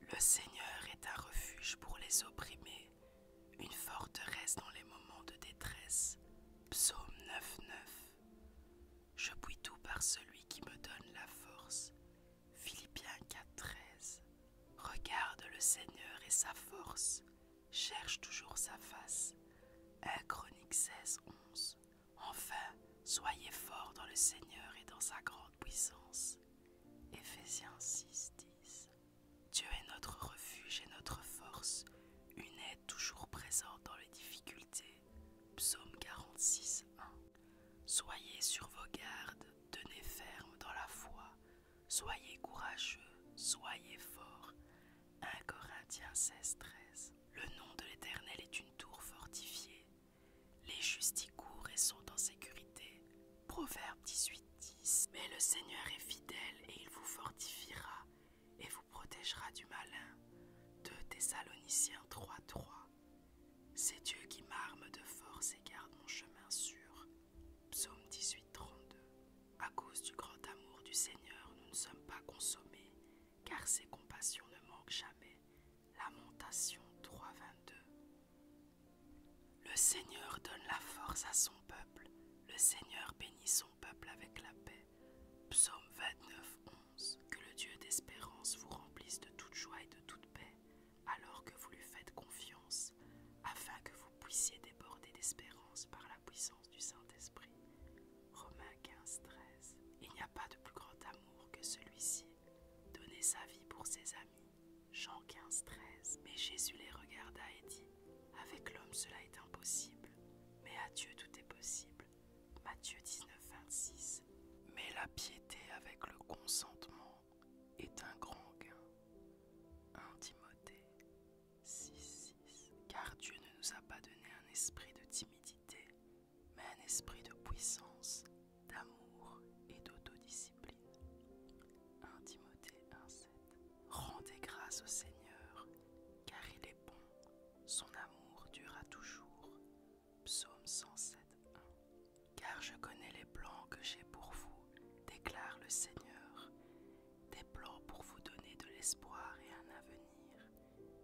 Le Seigneur est un refuge pour les opprimés, une forteresse dans les moments de détresse. Psaume 9.9 Je puis tout par celui qui me donne la force. Philippiens 4.13 Regarde le Seigneur et sa force, cherche toujours sa face. 1 Chronique 16.11 Enfin, soyez forts dans le Seigneur et dans sa grande puissance. Ephésiens 6, 10. Dieu est notre refuge et notre force, une aide toujours présente dans les difficultés. Psaume 46, Soyez sur vos gardes, tenez ferme dans la foi, soyez courageux, soyez forts. 1 Corinthiens 16, 13. Le nom de l'Éternel est une tour fortifiée. Les justes y courent et sont en sécurité. Proverbe 18, 10. Mais le Seigneur est fidèle et il vous fortifiera et vous protégera du malin. 2 Thessaloniciens 3, 3. C'est Dieu qui m'arme de force et garde mon chemin sûr. Psaume 18, 32. À cause du grand amour du Seigneur, nous ne sommes pas consommés, car ses compassions ne manquent jamais. Lamentation 3.22 Le Seigneur donne la force à son peuple, le Seigneur bénit son peuple avec la paix. Psaume 29, 11 Que le Dieu d'espérance vous remplisse de toute joie et de toute paix, alors que vous lui faites confiance, afin que vous puissiez déborder d'espérance par la puissance du Saint-Esprit. Romains 15, 13. Il n'y a pas de plus grand amour que celui-ci, donner sa vie pour ses amis. Jean 15, 13. Mais Jésus les regarda et dit Avec l'homme cela est impossible, mais à Dieu tout est possible. Matthieu 19, 26. Mais la piété avec le consentement est un grand gain. 1 Timothée 6, 6. Car Dieu ne nous a pas donné un esprit de timidité, mais un esprit de puissance, d'amour et d'autodiscipline. 1 Timothée 1, 7. Rendez grâce au Seigneur, car il est bon, son amour durera toujours. Psaume 107, 1. Car je connais les plans que j'ai pour vous, déclare le Seigneur, des plans pour vous donner de l'espoir et un avenir.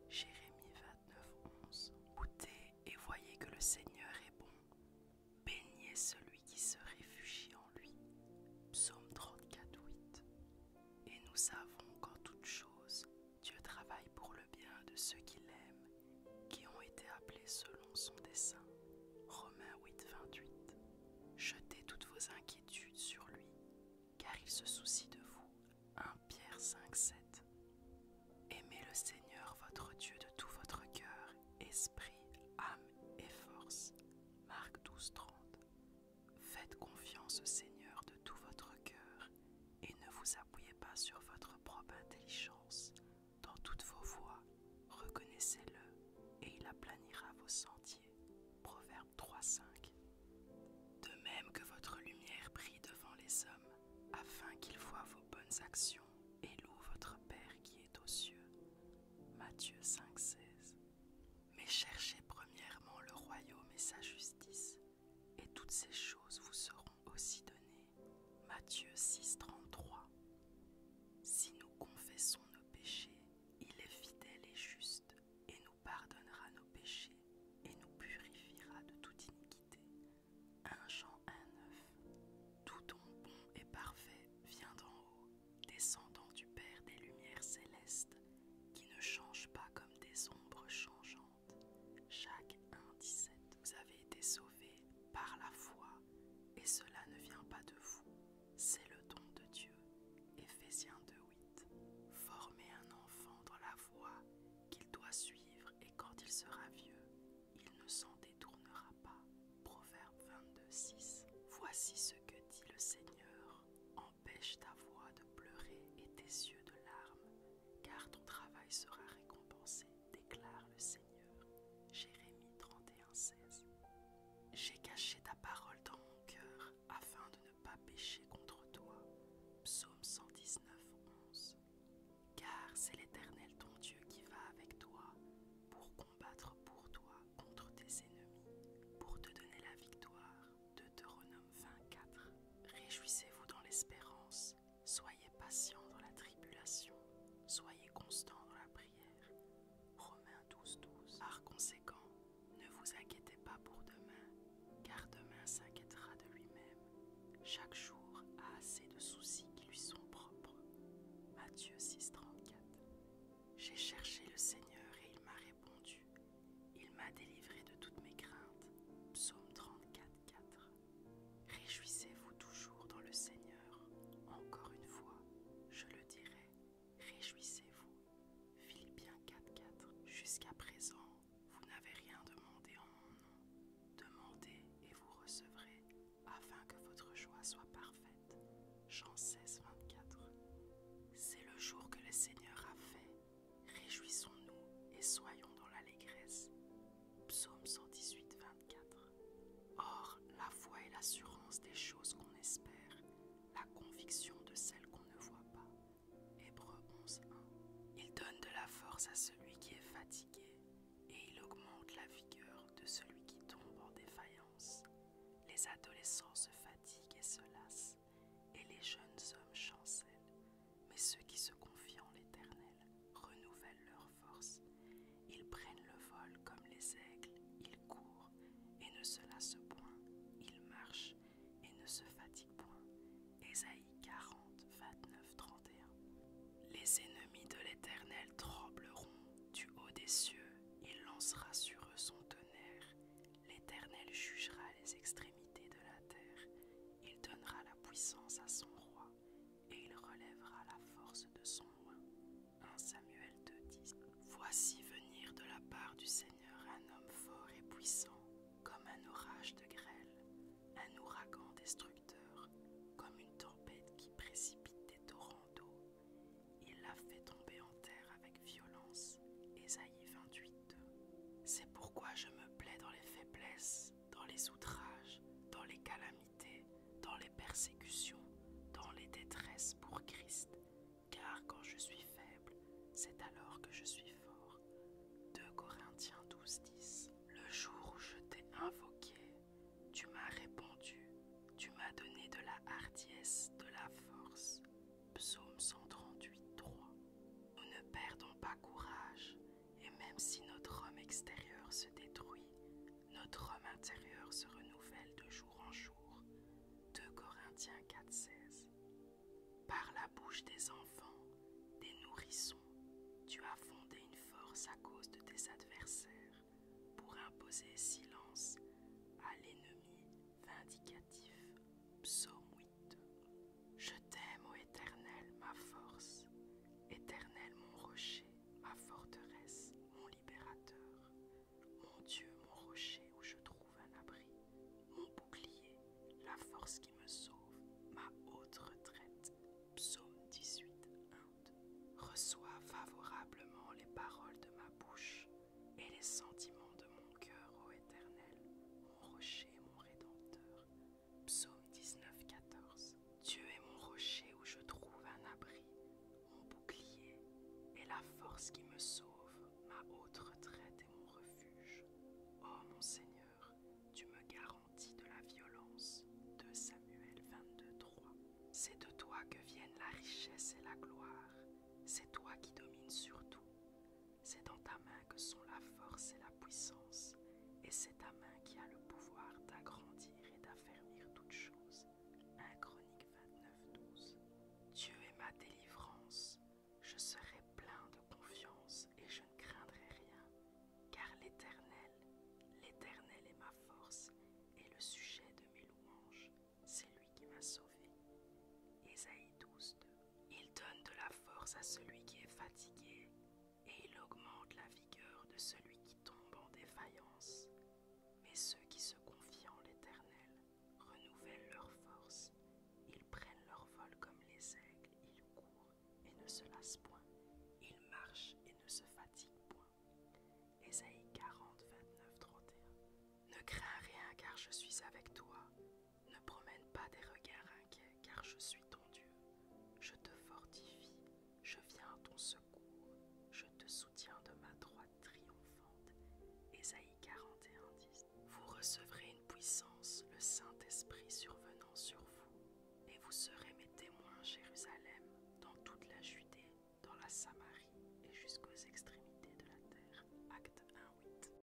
Jérémie 29, 11. Goûtez et voyez que le Seigneur est bon. Béniez celui qui se réfugie en lui. Psaume 34, 8. Et nous savons qu'en toute chose, Dieu travaille pour le bien de ceux qui l'aiment, qui ont été appelés selon son dessein. Romains 8:28. Jetez toutes vos inquiétudes sur lui, car il se soucie de vous. 1 Pierre 5, 7. Aimez le Seigneur votre Dieu de tout votre cœur, esprit, âme et force. Marc 12, 30. Faites confiance au Seigneur de tout votre cœur et ne vous appuyez pas sur votre propre intelligence. Dans toutes vos voies, reconnaissez-le et il aplanira vos sentiers. Proverbe Proverbe 3.5. De même que votre lumière brille devant les hommes, afin qu'ils voient vos bonnes actions et louent votre Père qui est aux cieux. Matthieu 5.16. Mais cherchez premièrement le royaume et sa justice, et toutes ces choses vous seront aussi données. Matthieu 6.33. Si nous confessons nos péchés, il est fidèle et juste, et nous pardonnera nos péchés, et nous purifiera de toute iniquité. 1 Jean 1,9 Tout don bon et parfait vient d'en haut, descendant du Père des Lumières célestes, qui ne change pas comme des ombres changeantes. Jacques 1,17 17 Vous avez été sauvés par la foi, et cela ne vient pas de vous, c'est le don de Dieu. Éphésiens 2.8. Formez un enfant dans la voie qu'il doit suivre et quand il sera vieux, il ne s'en détournera pas. Proverbe 22.6. Voici ce que dit le Seigneur. Empêche ta voix de pleurer et tes yeux de larmes, car ton travail sera récompensé, déclare le Seigneur. Jérémie 31, 16. J'ai caché ta parole dans mon cœur afin de ne pas pécher contre toi. Psaume 119, 11. Car c'est l'Éternel ton Dieu qui va avec toi pour combattre pour toi contre tes ennemis, pour te donner la victoire. Deutéronome 24. Réjouissez-vous dans l'espérance, soyez patient dans la tribulation, soyez constant dans la prière Romains 12, 12. Par conséquent, ne vous inquiétez pas pour demain, car demain s'inquiétera de lui-même. Chaque jour a assez de soucis qui lui sont propres. Matthieu 6, 34. J'ai cherché le Seigneur et il m'a répondu. Il m'a délivré de toutes mes craintes. Psaume 34, 4. Réjouissez-vous toujours dans le Seigneur. Encore une fois, je le dirai, réjouissez-vous. Philippiens 4.4 Jusqu'à présent, vous n'avez rien demandé en mon nom. Demandez et vous recevrez, afin que votre joie soit parfaite. Jean 16, 24. C'est le jour que le Seigneur a fait. Réjouissons-nous et soyons dans l'allégresse. Psaume 118, Or, la foi est l'assurance des choses qu'on espère, la conviction de celles qu'on ne voit pas. Hébreu 11.1. Il donne de la force à celui qui est fatigué et il augmente la vigueur de celui qui tombe en défaillance. Les adolescents se fatiguent et se lassent, et les jeunes hommes chancellent, mais ceux qui se confient en l'Éternel renouvellent leur forces. Ils prennent le vol comme les aigles, ils courent et ne se lassent point, ils marchent et ne se fatiguent point. Ésaïe 40, 29, 31. Les ennemis de l'Éternel trembleront du haut des cieux, il lancera sur eux son tonnerre. L'Éternel jugera les extrémités de la terre, il donnera la puissance à son roi et il relèvera la force de son roi 1 Samuel 10 Voici venir de la part du Seigneur un homme fort et puissant, comme un orage de grêle, un ouragan destructeur, comme une tempête qui précipite des torrents d'eau. Il l'a fait tomber en terre avec violence. Ésaïe 28. C'est pourquoi je me plais dans les faiblesses, dans les outrages, dans les calamités dans les persécutions, dans les détresses pour Christ, car quand je suis faible, c'est alors que je suis fort. 2 Corinthiens 12, 10. Le jour où je t'ai invoqué, tu m'as répondu, tu m'as donné de la hardiesse, de la force. Psaume 1383 Nous ne perdons pas courage, et même si notre homme extérieur se détruit, notre homme intérieur se renouvelle de jour en jour. 2 Corinthiens 4,16 Par la bouche des enfants, des nourrissons, tu as fondé une force à cause de tes adversaires pour imposer silence à l'ennemi vindicatif. Psaume 8. Je t'aime, ô Éternel, ma force, Éternel, mon rocher, ma forteresse, mon libérateur, mon Dieu, mon rocher où je trouve un abri, mon bouclier, la force qui me sauve, ma haute retraite. Psaume 18, 1. Reçois favorablement les paroles de ma bouche et les sentiments de mon cœur, ô Éternel, mon rocher, mon rédempteur. Psaume 19,14. Dieu est mon rocher où je trouve un abri, mon bouclier et la force qui me sauve, ma haute retraite et mon refuge. Oh mon Seigneur, tu me garantis de la violence. De Samuel 22, 3. C'est de toi que viennent la richesse et la gloire. C'est toi qui domines sur tout. C'est dans ta main que sont la force et la puissance, et c'est ta main qui a le pouvoir d'agrandir et d'affermir toutes chose. 1 Chronique 29, 12. Dieu est ma délivrance, je serai plein de confiance et je ne craindrai rien, car l'Éternel, l'Éternel est ma force et le sujet de mes louanges, c'est lui qui m'a sauvé. Ésaïe 12, 2. Il donne de la force à celui qui est fatigué et il augmente la vigueur de celui qui tombe en défaillance. Mais ceux qui se confient en l'Éternel renouvellent leur force. Ils prennent leur vol comme les aigles, ils courent et ne se lassent point. Ils marchent et ne se fatiguent point. Ésaïe 40, 29, 31. Ne crains rien car je suis avec toi. Ne promène pas des regards inquiets, car je suis ton Dieu. Je te fortifie, je viens à ton secours, je te soutiens de ma droite triomphante. Ésaïe 41, 10. Vous recevrez une puissance, le Saint-Esprit survenant sur vous, et vous serez mes témoins Jérusalem, dans toute la Judée, dans la Samarie et jusqu'aux extrémités de la terre. Acte 1, 8.